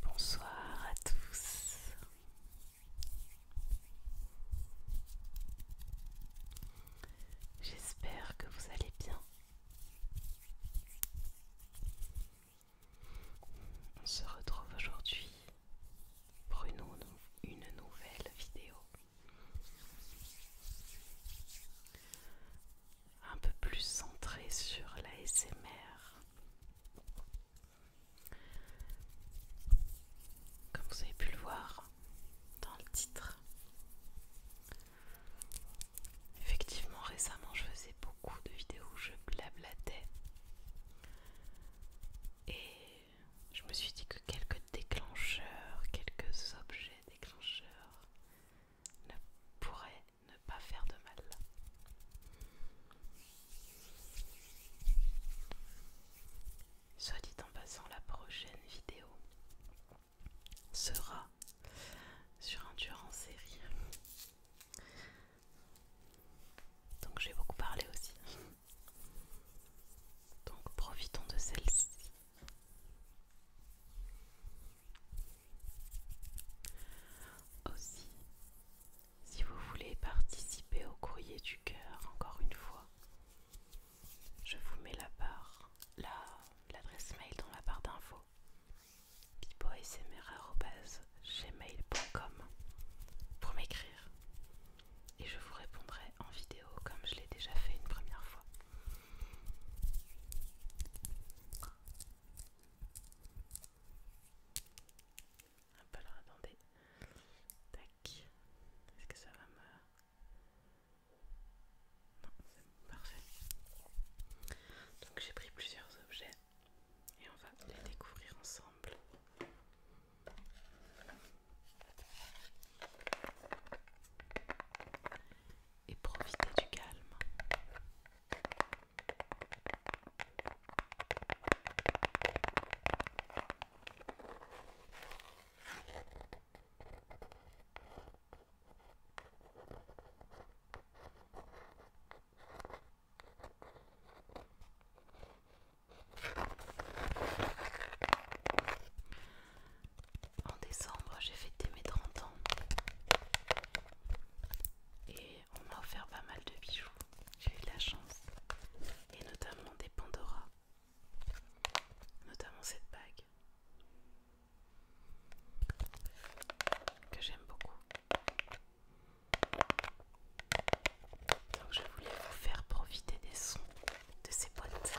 Bonsoir à tous. J'espère que vous allez bien. On se retrouve aujourd'hui pour une, une nouvelle vidéo un peu plus centré sur la SMR. Comme vous avez pu le voir dans le titre. Effectivement, récemment, je faisais beaucoup de vidéos où je blablatais. Et je me suis dit que quelques déclencheurs, quelques objets déclencheur ne pourrait ne pas faire de mal. Soit dit en passant, la prochaine vidéo sera sur un dur en série. Donc j'ai beaucoup parlé aussi. Donc profitons de celle-ci aussi, si vous voulez participer au courrier du cœur encore une fois, je vous mets la barre, l'adresse mail dans la barre d'infos gmail.com pour m'écrire et je vous répondrai en vidéo comme je l'ai déjà fait une première fois. Un peu alors attendez. Tac. Est-ce que ça va me. Non, c'est bon, parfait. Donc j'ai pris plusieurs objets et on va les découvrir ensemble et profitez du calme. En décembre, j'ai fêté mes 30 ans et on m'a offert pas mal de bijoux. J'ai eu de la chance et notamment des Pandora, notamment cette bague que j'aime beaucoup. Donc je voulais vous faire profiter des sons de ces boîtes.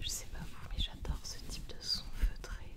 Je sais pas vous, mais j'adore ce type de son feutré.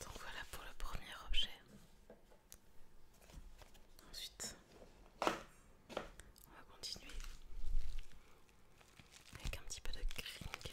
Donc voilà pour le premier objet. Ensuite, on va continuer avec un petit peu de crinkles.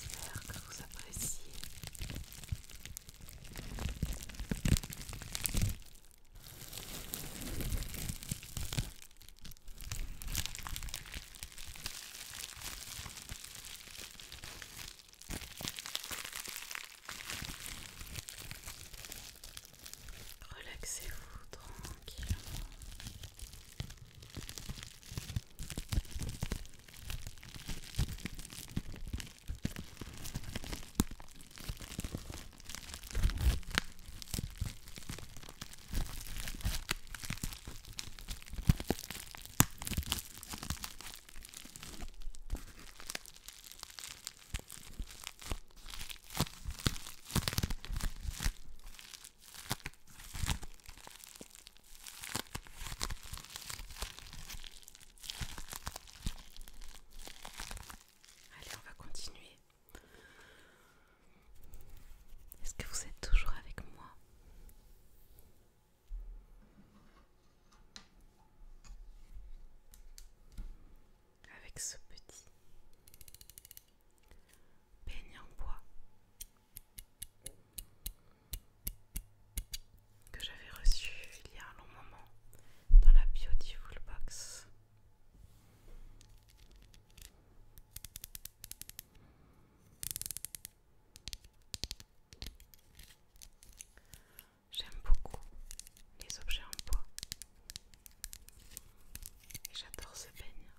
J'espère que vous appréciez. Relaxez-vous tranquillement. Allez, on va continuer. Est-ce que vous êtes toujours avec moi avec ce petit peigne en bois que j'avais reçu il y a un long moment dans la Beautiful Box. J'aime beaucoup les objets en bois. j'adore ce peigne.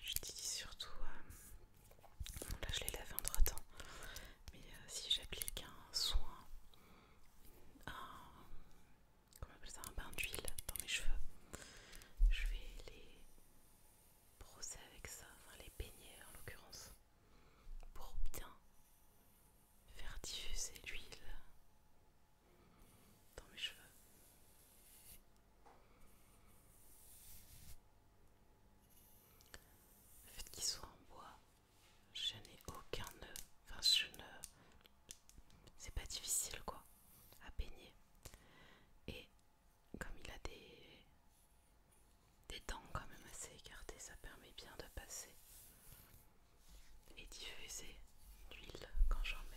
J'utilise surtout... Euh, là je l'ai lavé droit temps. Mais euh, si j'applique un soin, un, comment on appelle ça, un bain d'huile dans mes cheveux. Je vais les brosser avec ça, enfin les peigner en l'occurrence, pour bien faire diffuser l'huile dans mes cheveux. Le fait qu'ils soient en bois, je n'ai aucun nœud. Enfin, je ne. C'est pas difficile quoi à peigner. Et comme il a des. Des dents quand même assez écartées, ça permet bien de passer et diffuser l'huile quand j'en mets.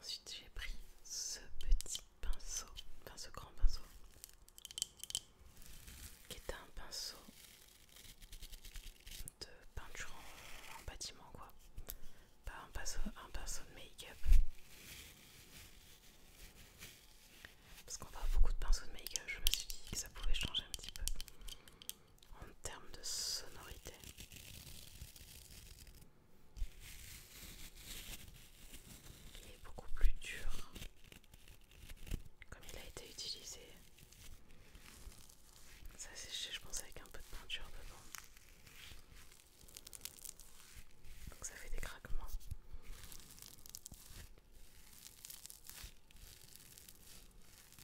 Ensuite, j'ai pris ce petit pinceau, enfin ce grand pinceau, qui est un pinceau de peinture en, bâtiment, quoi. Pas un pinceau, un pinceau de make-up. Parce qu'on voit beaucoup de pinceaux de make-up, je me suis dit que ça pouvait changer un petit peu en termes de sonorité. Il est beaucoup plus dur comme il a été utilisé. Ça c'est je pense avec un peu de peinture dedans. Donc ça fait des craquements.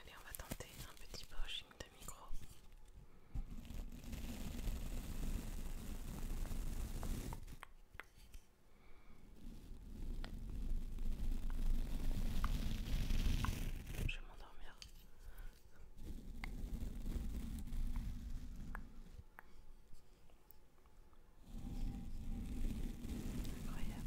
Allez, on va tenter un petit brushing de micro. Je vais m'endormir. Incroyable.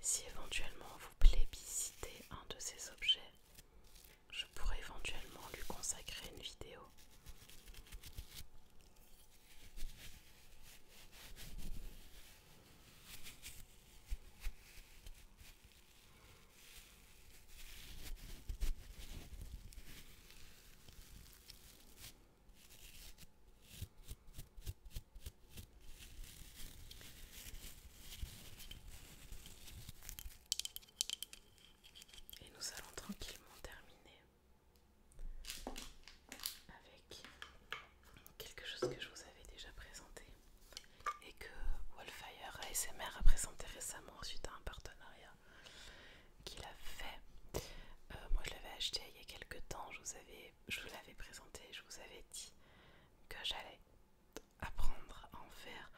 Si éventuellement vous plébiscitez un de ces objets, je pourrais éventuellement lui consacrer une vidéo. Et nous allons tranquillement terminer avec quelque chose que je vous avais déjà présenté et que Wallfire ASMR a présenté récemment suite à un partenariat qu'il a fait. Euh, moi je l'avais acheté il y a quelques temps, je vous, avais, je vous l'avais présenté, je vous avais dit que j'allais apprendre à en faire.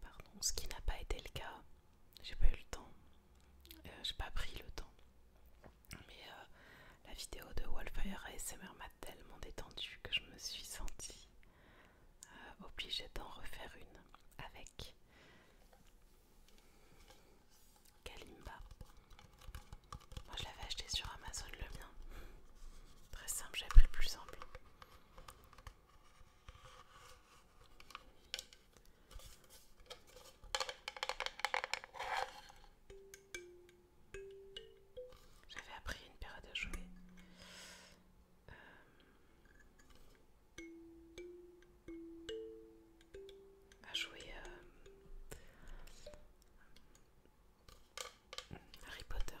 Pardon, ce qui n'a pas été le cas. J'ai pas eu le temps. Euh, j'ai pas pris le temps. Mais euh, la vidéo de Wallfire ASMR m'a tellement détendue que je me suis sentie euh, obligée d'en refaire une avec Kalimba. Moi je l'avais acheté sur Amazon le mien. Très simple, j'ai pris le plus simple. J'avais appris une période à jouer. Euh, à jouer euh, Harry Potter.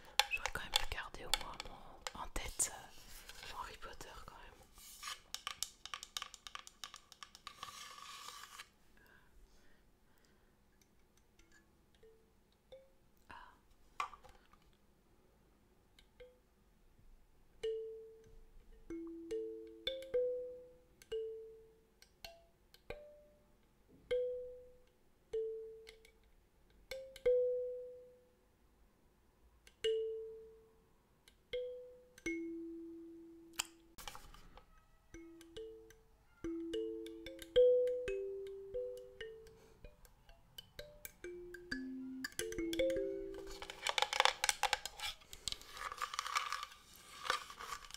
J'aurais quand même gardé au moins mon... en tête euh, Harry Potter quand même. Ah.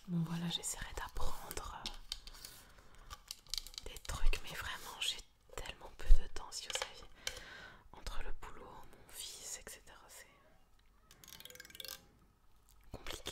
Bon voilà, j'essaierai d'apprendre euh, des trucs, mais vraiment j'ai tellement peu de temps si vous saviez entre le boulot, mon fils, etc. C'est compliqué.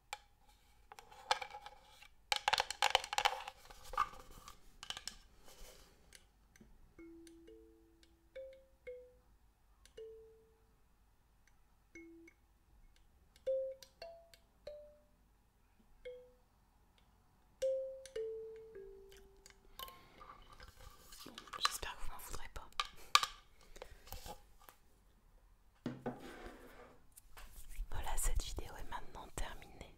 j'espère que vous m'en voudrez pas. Voilà, cette vidéo est maintenant terminée.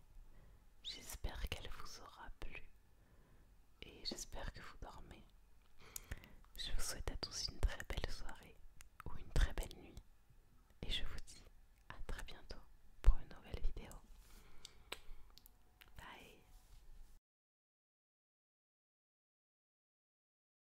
J'espère qu'elle vous aura plu et j'espère que vous dormez. Je vous souhaite à tous une très belle soirée ou une très belle nuit et je vous dis à très bientôt pour une nouvelle vidéo. Bye